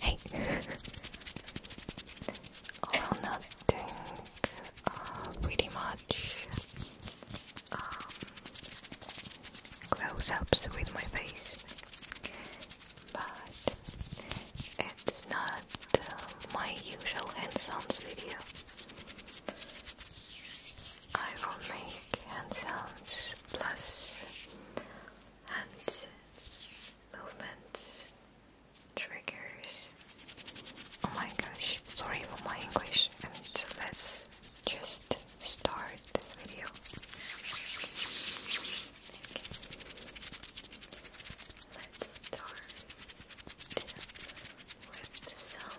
はい well, nothing uh, pretty much um, close-ups with my face but it's not uh, my usual hands-on video I will make hand sounds plus hand movements, triggers. Oh my gosh, sorry for my English, and let's just start this video. Let's start with some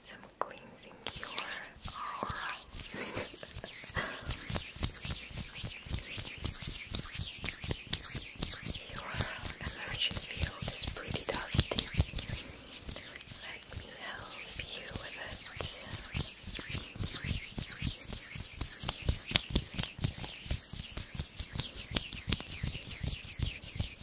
some cleansing cure. Your energy field is pretty dusty. Let me help you with it.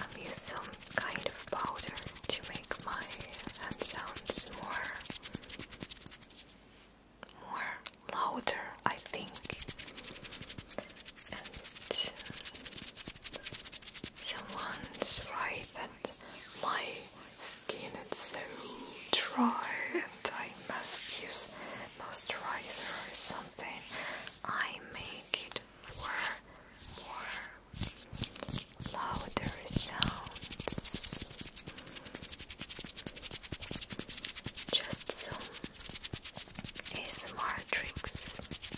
I've used kind of powder to make my hand sounds more more louder I think Someone's right that my skin is so dry and I must use moisturizer or something. I make it for more louder sounds. Just some ASMR tricks.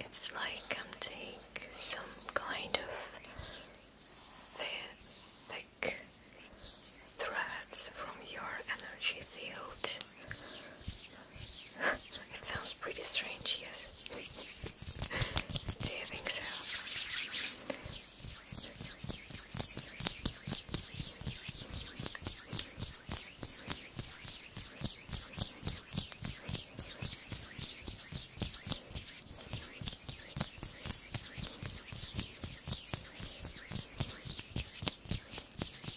It's like I'm taking some kind of thick threads from your energy field it sounds pretty strange, yes. Do you think so?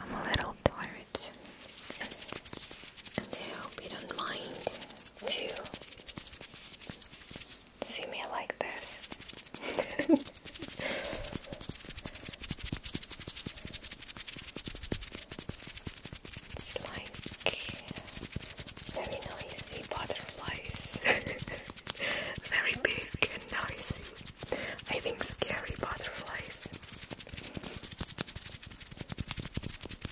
I'm a little tired I hope you don't mind to see me like this. It's like very noisy butterflies. very big and noisy. I think scary butterflies.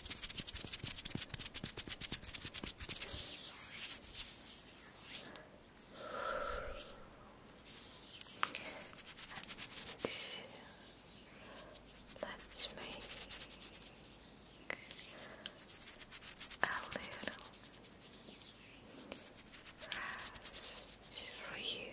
Let's make a little rest for you.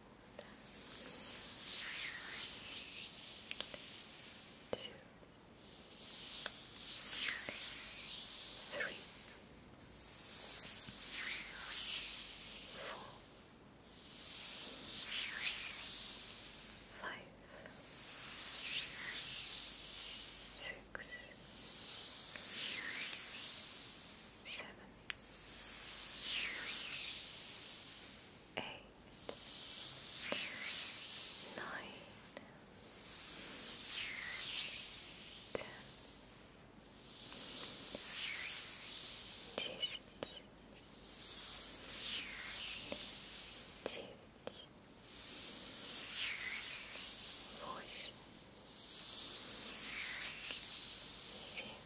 two, three, four, five, six, seven eight, nine, ten, десять, девять, восемь, семь.